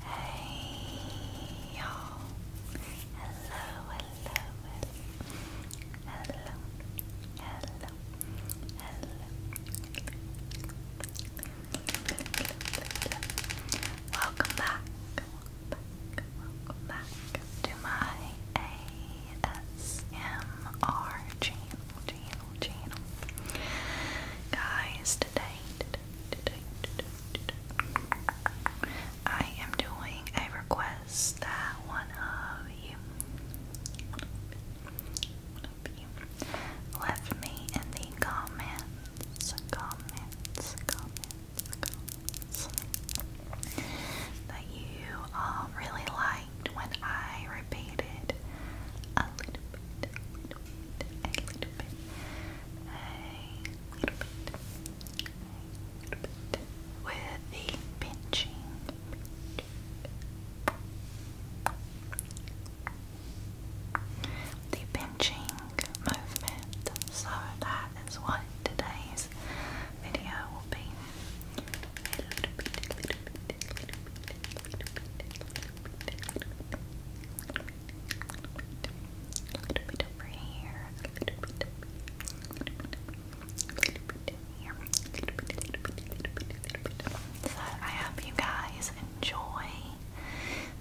Hey y'all. Hello, hello, hello. Hello. Hello. Welcome back. Welcome back. Welcome back to my ASMR channel channel, channel. Guys, today, today, today, today, I am doing a request that one of you, left me in the comments, that you um, really liked when I repeated a little bit, little bit, a little bit, a little bit, with the pinching. The pinching movement. So that is what today's video will be. A little bit over here. A little bit. A little bit here. A little bit. A little bit. A little bit. A little bit. So I hope you guys enjoy.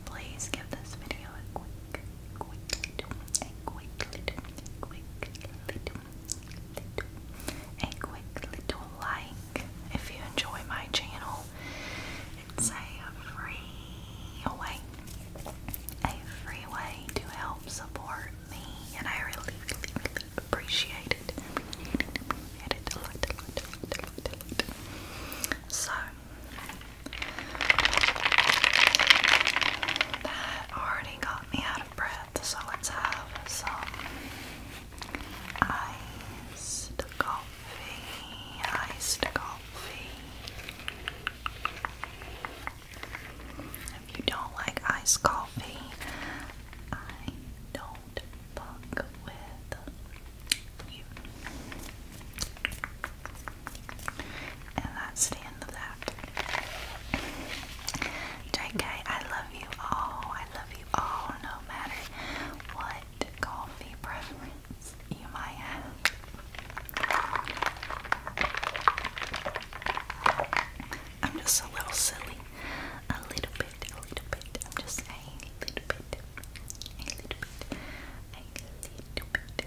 Please give this video a quick, quick, little, a quick, little, a quick, little, little, a quick little like if you enjoy my channel. It's a free way, a free way to help support me, and I really, really, appreciate it. So, that already got me out of breath, so let's have some iced coffee, iced coffee. If you don't like iced coffee, I don't fuck with you. And that's the end of that. JK, I love you all. I love you all, no matter what coffee preference preference I'm just a little silly. A little bit, a little bit. I'm just a A little bit. A little bit. A little bit.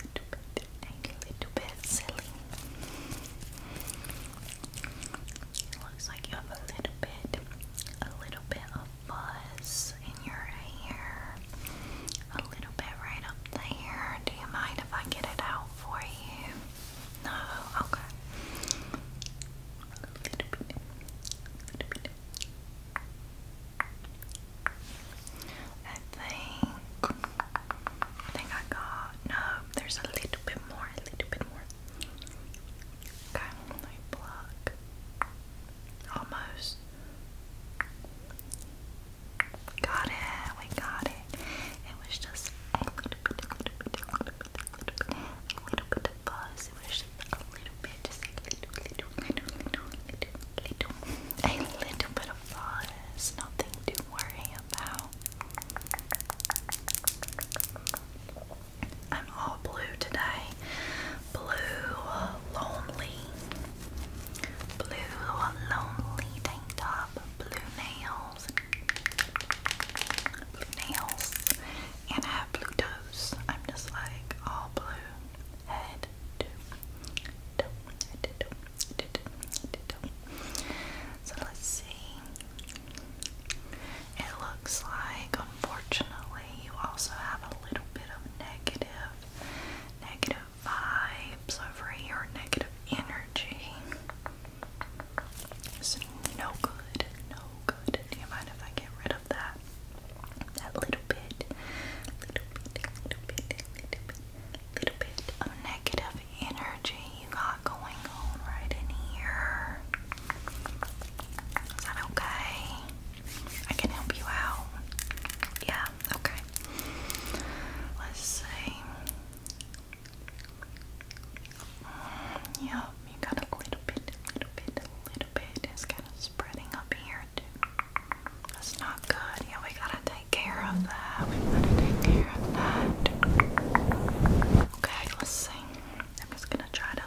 A little bit. A little bit silly. It's like you have a little bit, a little bit of fuzz in your hair, a little bit right up there. Do you mind if I get it out for you? No, okay. A little bit, a little bit. I think, I think I got, no, there's a little bit more, a little bit more, Okay, let me pluck. Almost. Got it, we got it. It was just a little bit, of buzz. It was a little bit, just a little, little, little, little, little, little, little bit of buzz. Nothing to worry about. I'm all blue today. Blue lonely. Blue lonely tank top. Blue nails. Blue nails. And I have blue toes. I'm just like all blue. Head to toe. Head to toe. Head to toe. Head to toe. So let's see. It looks like, unfortunately, you also have a little bit of negative, negative vibes over here, negative energy. It's no good, no good. Do you mind if I get rid of that? That little bit, little bit, little bit, of negative energy you got going on right in here. Is that okay? I can help you out. Yeah, okay. Let's see. Mm, yeah, you got a little bit, little bit, little bit. It's kind of spreading up here, too. That's not good. Yeah, we gotta take care of that. We gotta take care of that. Okay, let's see. I'm just gonna try it out.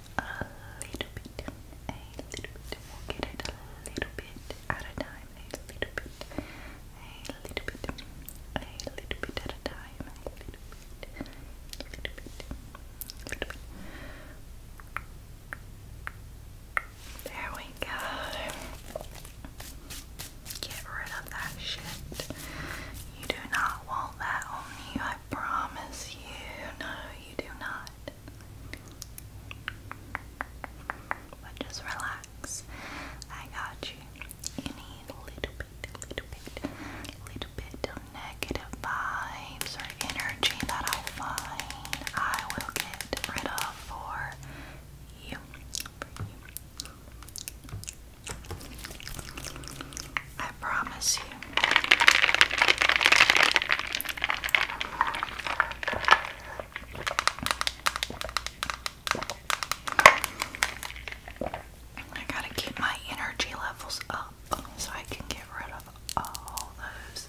little bit, a little bit. get it a little bit at a time, a a little bit, a little bit at a time, a There we go. Get rid of that shit. You do not want that on you, I promise you. No, you do not. But just relax. I got you. You little bit, little bit, little bit of negative vibes or energy that I find I will get rid of For you. I promise you, I gotta keep my energy levels up so I can get rid of all those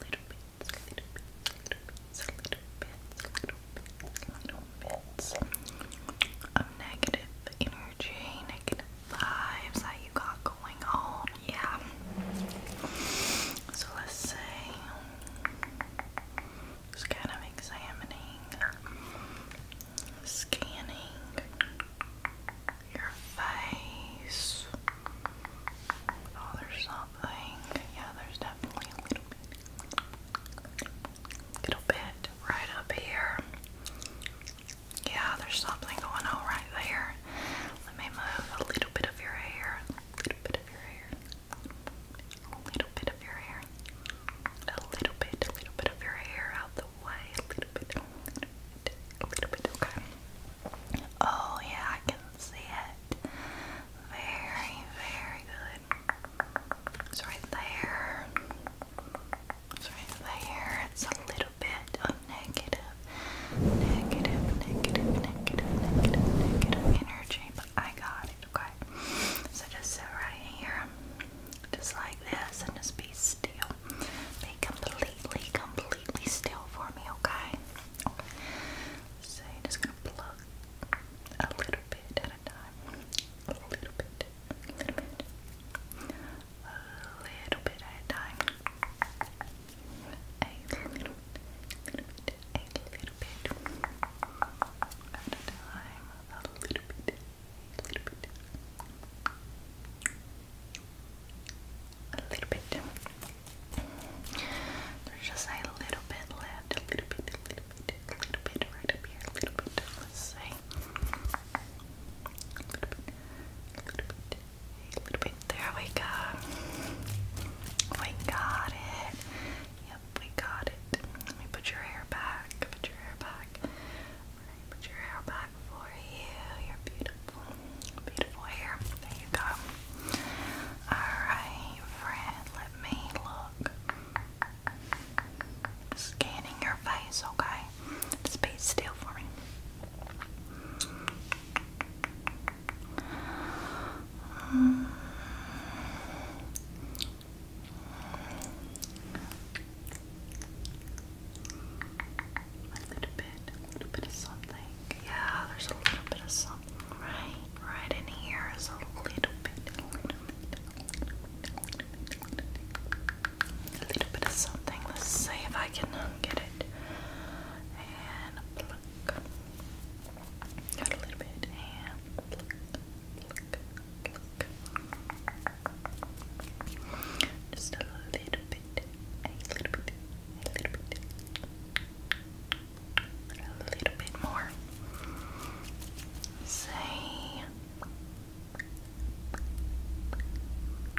little bits, little bits, little bits, little bits, little bits, of negative energy, vibes that you got going on. Yeah. So let's say just kind of examining, scanning your face. Oh, there's something. Yeah, there's definitely a little bit. Little bit right up here. Yeah, there's something going on right there. Let me move a little bit of your hair. little bit of your hair. little bit of your hair. A little bit, little bit of your hair out the way. A little bit, a little bit, a little bit. Okay. Oh, yeah, I can see it. Very, very good. It's right there. It's right there. It's a little little bit of negative, negative, negative, negative, negative, negative energy, but I got it, okay? So just sit right here, just like this, and just be still. Be completely, completely still for me, okay? So just gonna plug a little bit at a time. A little bit, a little bit a little bit at a time. A little, little bit, a little bit at a time. A little bit, a little bit, a little bit. There's just a little bit left. A little bit, a little bit, a little bit right up here. A little bit. Let's say. A little bit, a little bit, there we go. We got it. Yep, we got it. Let me put your hair back. Put your hair back. put your hair back for you. you beautiful. Beautiful hair. There you go. Alright, friend, let me look. Scanning your face, okay? Just be still for me. A little bit, a little bit of something. Yeah, there's a little bit of something right, right in here is a little bit, a little bit, of something. Let's see if I can get it it. And a little bit. Just a little bit. A little bit. A little bit. A little bit more. Say.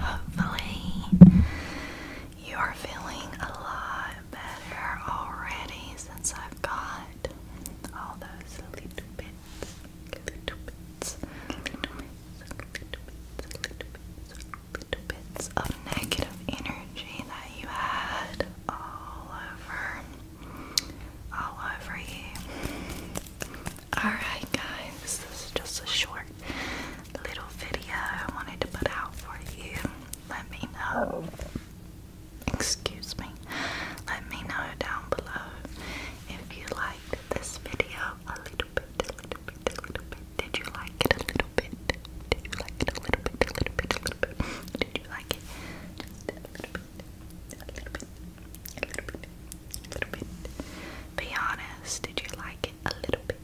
Hopefully, you are feeling a lot better already since I've got all those little bits, little bits, little bits, little bits, little bits of negative energy that you had all over all over you. Alright, guys, this is just a short little video I wanted to put out for you. Let me know. Excuse me. Let me know down below if you liked this video a little bit, Did you like it a little bit? Did you like it a little bit, little bit, little bit? Did you like it be honest, did you like it? A little bit.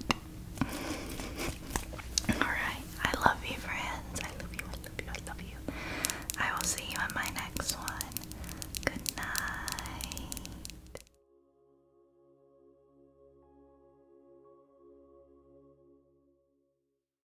Alright, I love you, friends. I love you, I love you, I love you. I will see you in my next one. Good night.